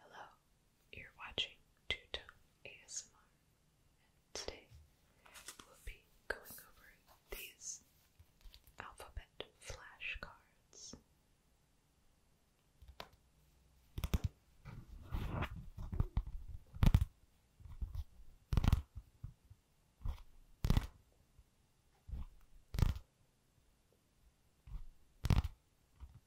Hello, you're watching Two Tone ASMR, and today we'll be going over these alphabet flashcards.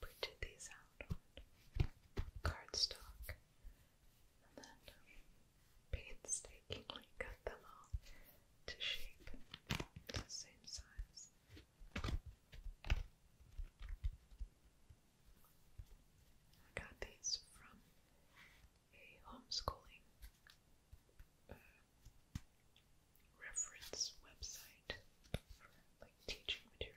Put these out on cardstock and then painstakingly cut them all to shape the same size. I got these from a homeschooling uh, reference website for like teaching material.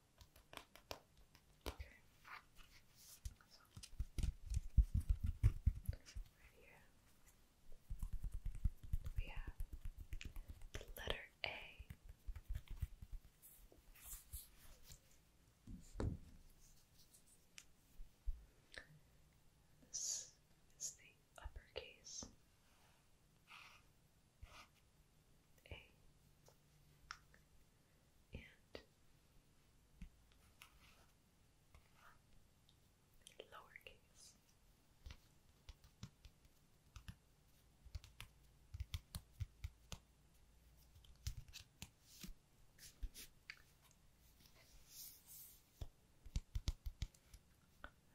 Okay. So, right here, we have the letter A. This is the uppercase. A and lowercase.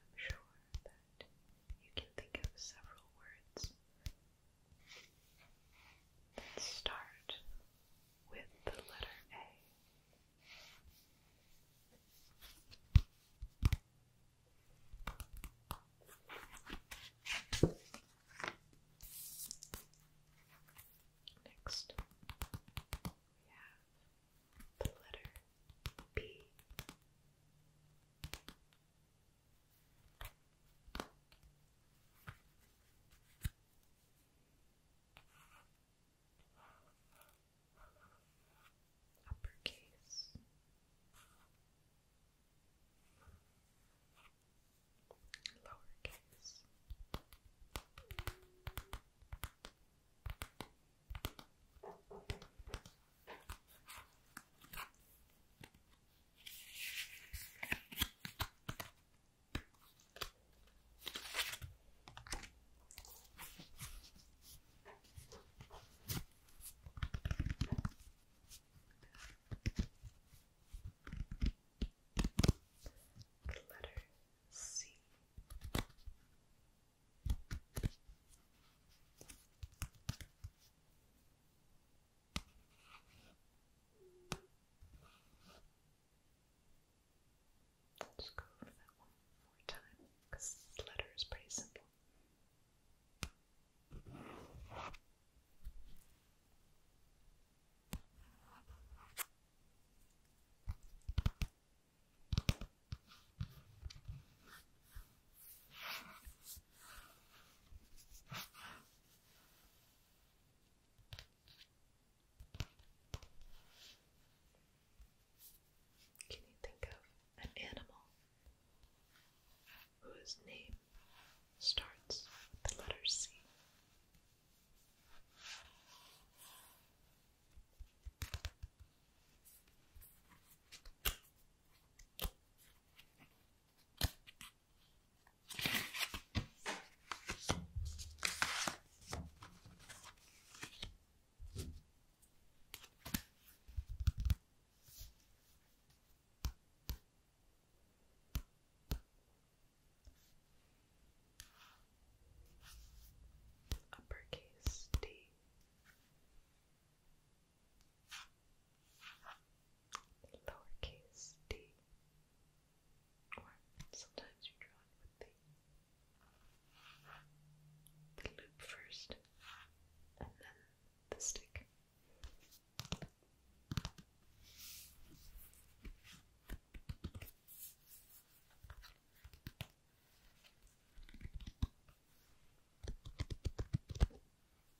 I'm sure that you can think of several words Let's start with the letter A. Next, we have the letter B uppercase lowercase Letter C. Let's go over that one more time because this letter is pretty simple. Can you think of an animal whose name starts with the letter C? uppercase D lowercase d, or sometimes you draw with the loop first and then the stick.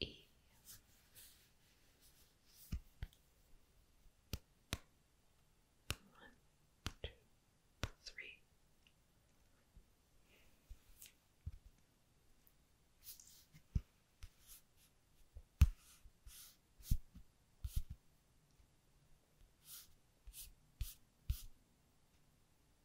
E one, two, three. One,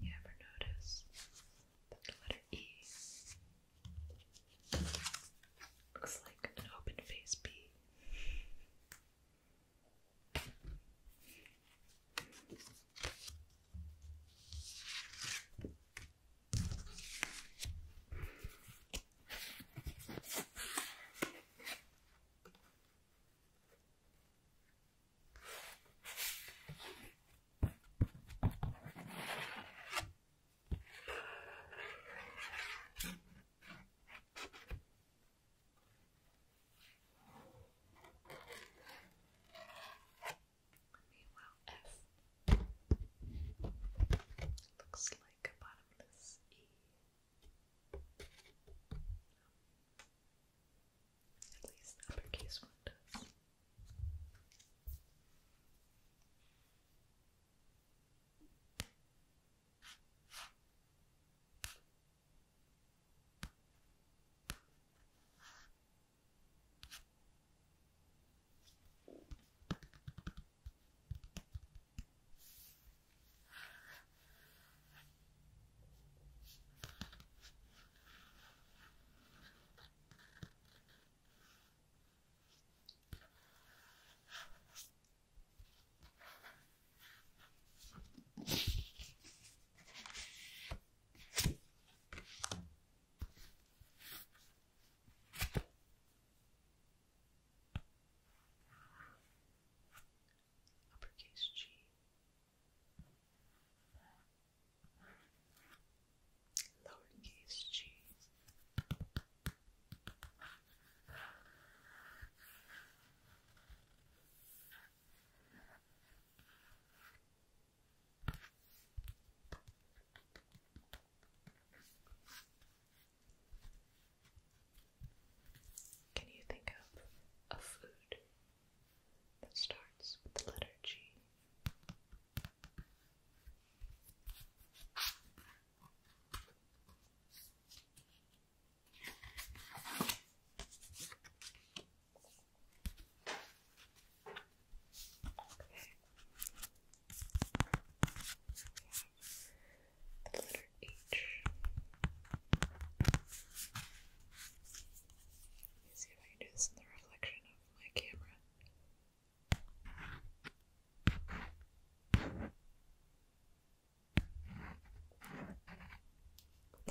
You ever notice that the letter E looks like an open face B? Meanwhile, F looks like a bottomless E. At least uppercase one does. Uppercase G Lowercase g. Can you think of a food that starts with the letter G. Okay. The letter H. Let me see if I can do this in the reflection of my camera.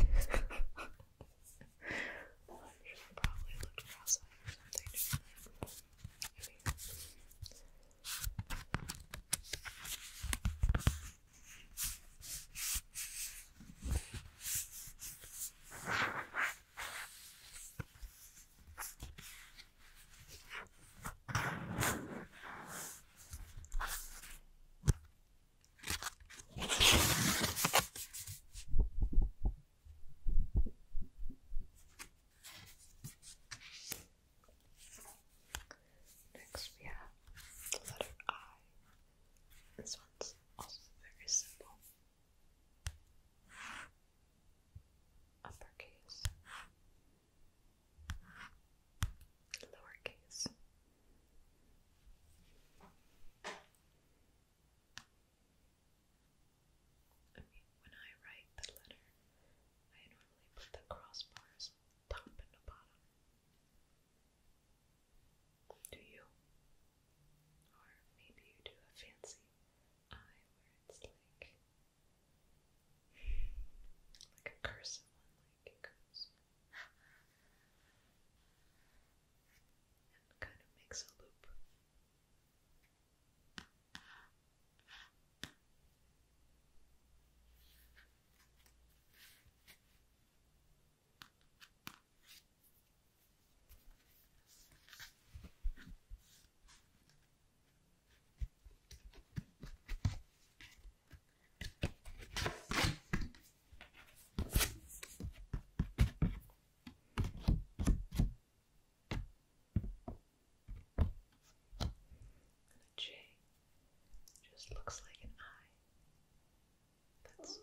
I should probably looked cross-eyed or something to do that. Next we have the letter I. This one's also very simple. Uppercase, lowercase. I mean, when I write the letter, I normally put the crossbars top and bottom. Do you? Or maybe you do a fancy eye where it's like like a cursive one, like it goes and kind of makes a loop. And the J just looks like an eye that's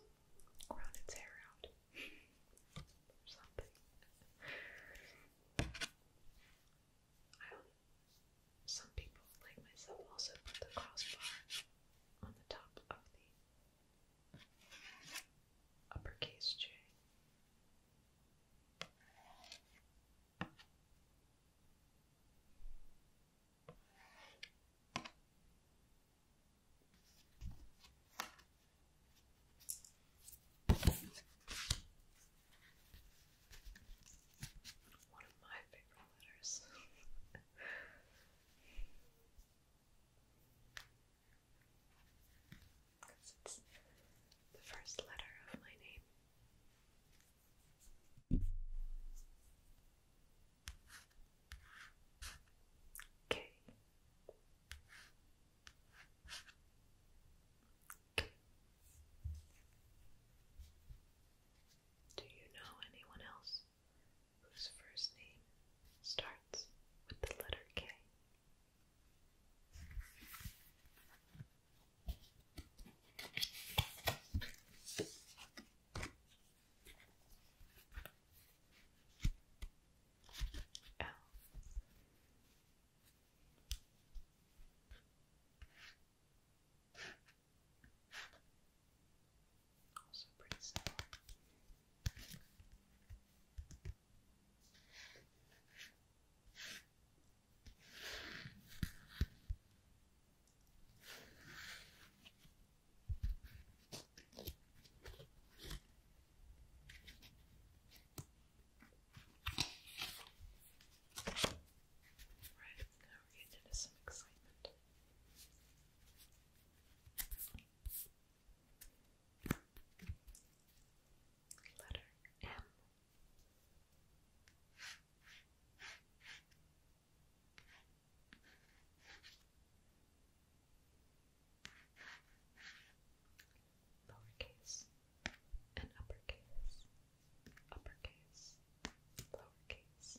grown its hair out or something. I some people, like myself, also put the crossbar on the top of the uppercase J. One of my favorite letters. Because it's the first letter of my name. Okay. Okay. Do you know anyone else whose first name starts with the letter K? Oh. Also pretty similar. Okay. Right, now we're into some excitement. Letter M. Lowercase and uppercase, uppercase, lowercase.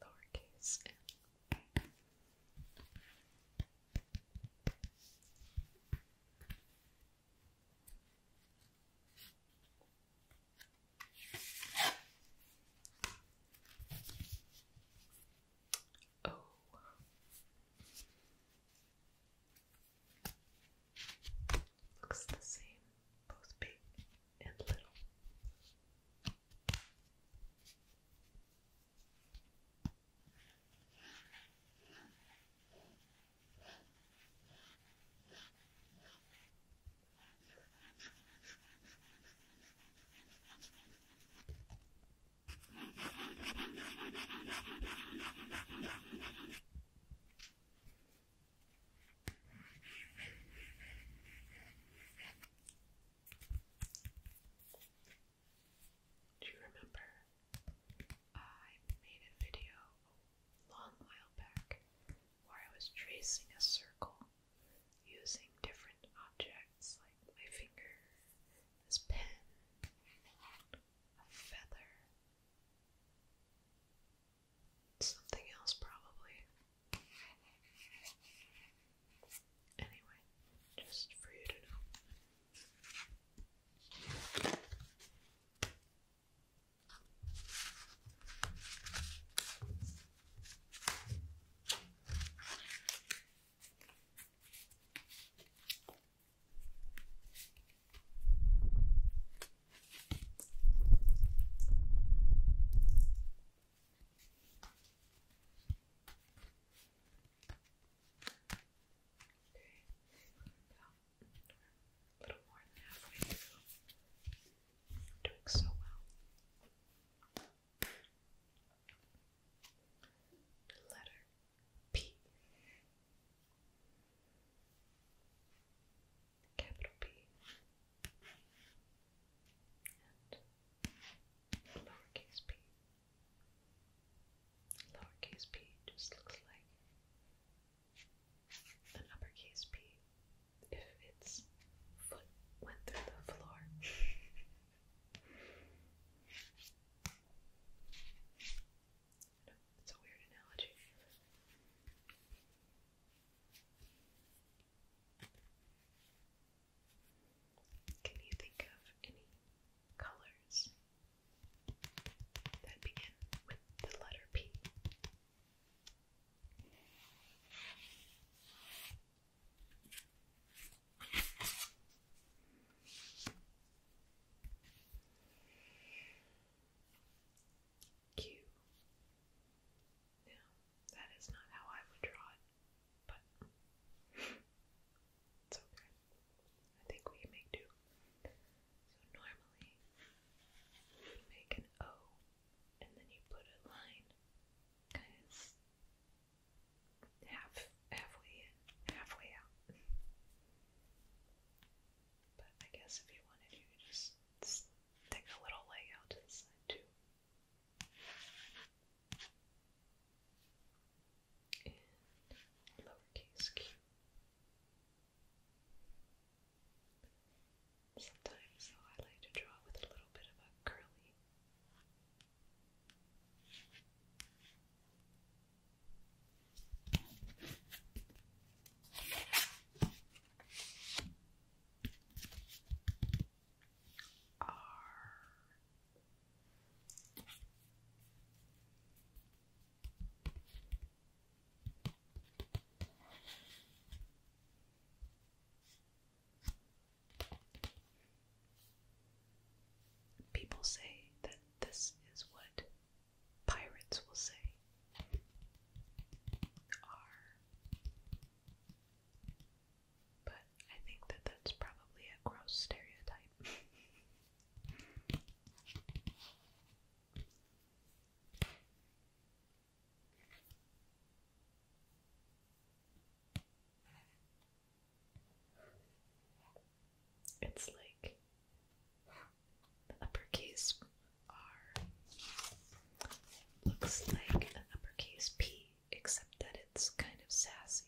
Lowercase n. Oh. Looks the same, both big and little. Do you remember? Uh, I made a video long while back where I was tracing a circle using different objects like my finger this pen, a feather, something else probably. Anyway, just for you to know a little more than halfway through. you doing so well. letter P capital P and lowercase p. Lowercase p just looks like an uppercase p if its foot went through the floor. It's a weird analogy. Can you think of any colors that begin with the letter P? Q. Now, that is not how I would draw it, but it's okay. I think we make do. So normally, you make an O, and then you put a line, kind of half halfway in, halfway out. But I guess if you wanted, you could just stick a little leg out to the side too. lowercase q. Sometimes, though, I like to draw with a little bit of a curly R. People say that this is what pirates will say are. But I think that that's probably a gross stereotype. It's like the uppercase R looks like an uppercase P, except that it's kind of sassy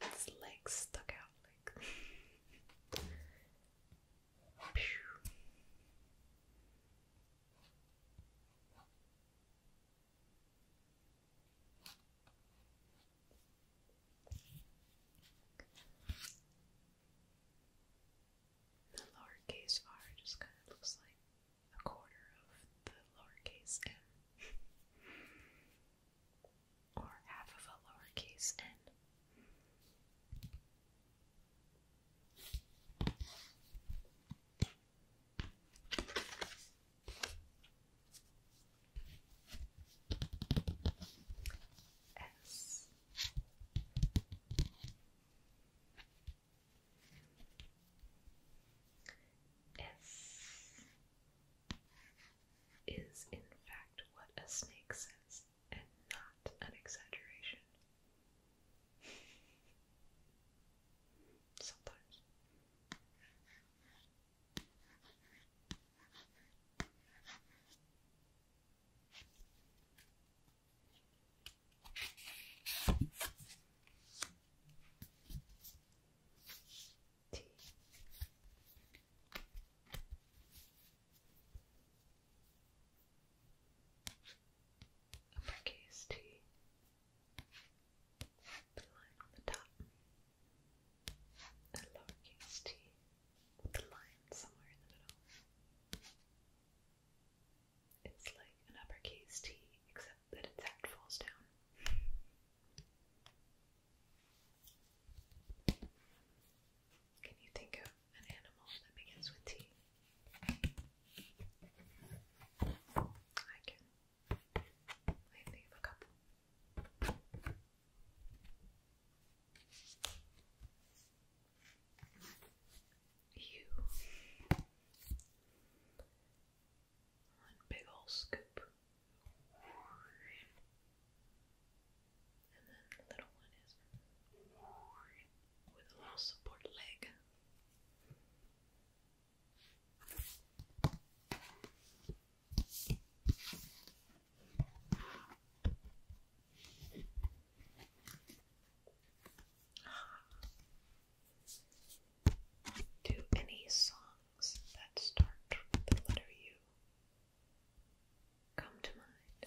with its legs stuck out like. The lowercase r just kind of looks like a quarter of the lowercase m. or half of a lowercase n. S S is in fact what a snake says and not an exaggeration. Sometimes. T. Uppercase T blue line on the top, a lowercase t with line somewhere in the middle. It's like an uppercase T, except that its head falls down. Can you think of an animal that begins with T? I can. I think a couple. You. One big old scoop. And then the little one is with a little support leg. Do any songs that start with the letter U come to mind?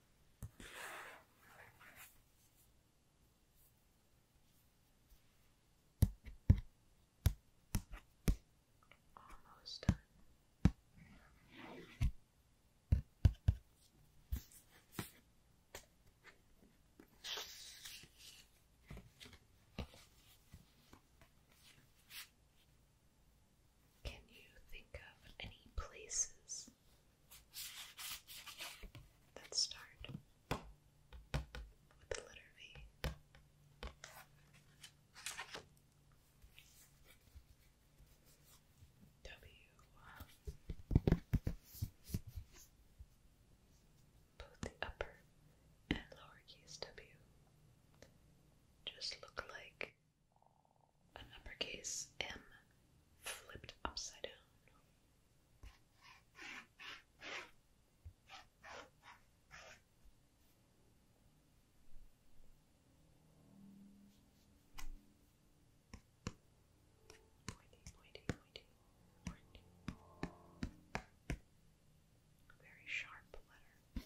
Almost done. Can you think of any places Let's start with the letter V. W. Both the upper and lowercase w just look like an uppercase M flipped upside down. Pointy, pointy, pointy, pointy. Very sharp letter.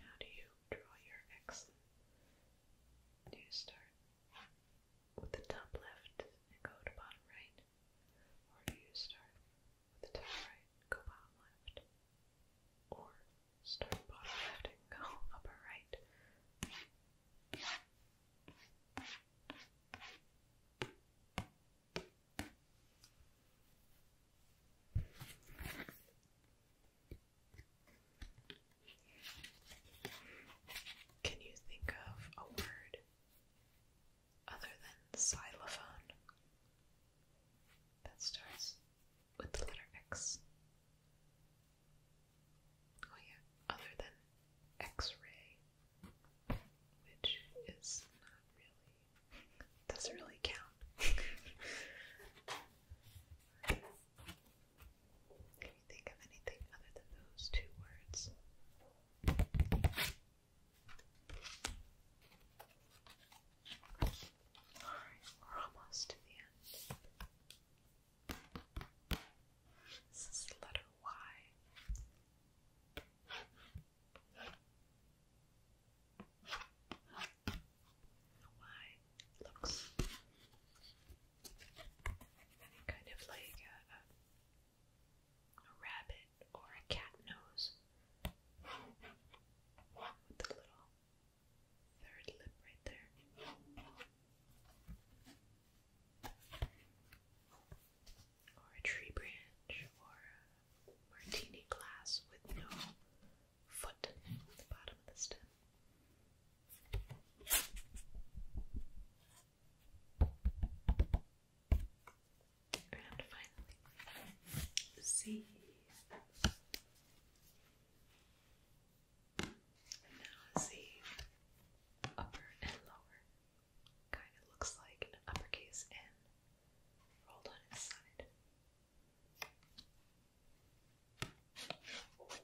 How do you draw your X? Do you start with the top left and go to bottom right? Or do you start with the top right go bottom left? Or start bottom left and go upper right? Can you think of a word other than xylophone that starts with the letter X? Oh, yeah, other than X ray, which is not really doesn't really count. Can you think of anything other than those two words? Alright, we're almost to the end. This is the letter Y why it looks kind of like a, rabbit or a cat nose with the little third lip right there. Or a tree branch or a martini glass with no foot the bottom of the stem. And finally, C. now Z, upper and lower, kind of looks like an uppercase N rolled on its side. How many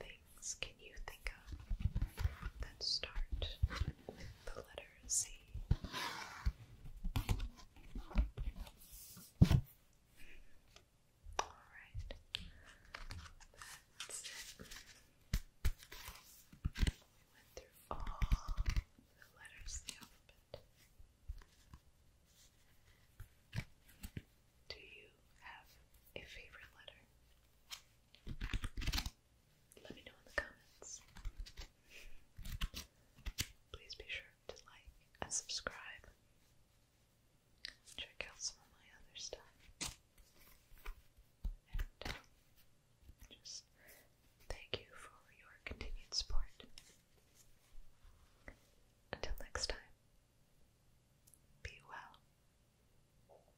things can you think of that start the letter Z. Alright, that's it. went through all the letters in the alphabet. Do you have a favorite letter? Let me know in the comments. Please be sure to like and subscribe. Check out some of my other stuff. And uh, just thank you for your continued support. Until next time, be well.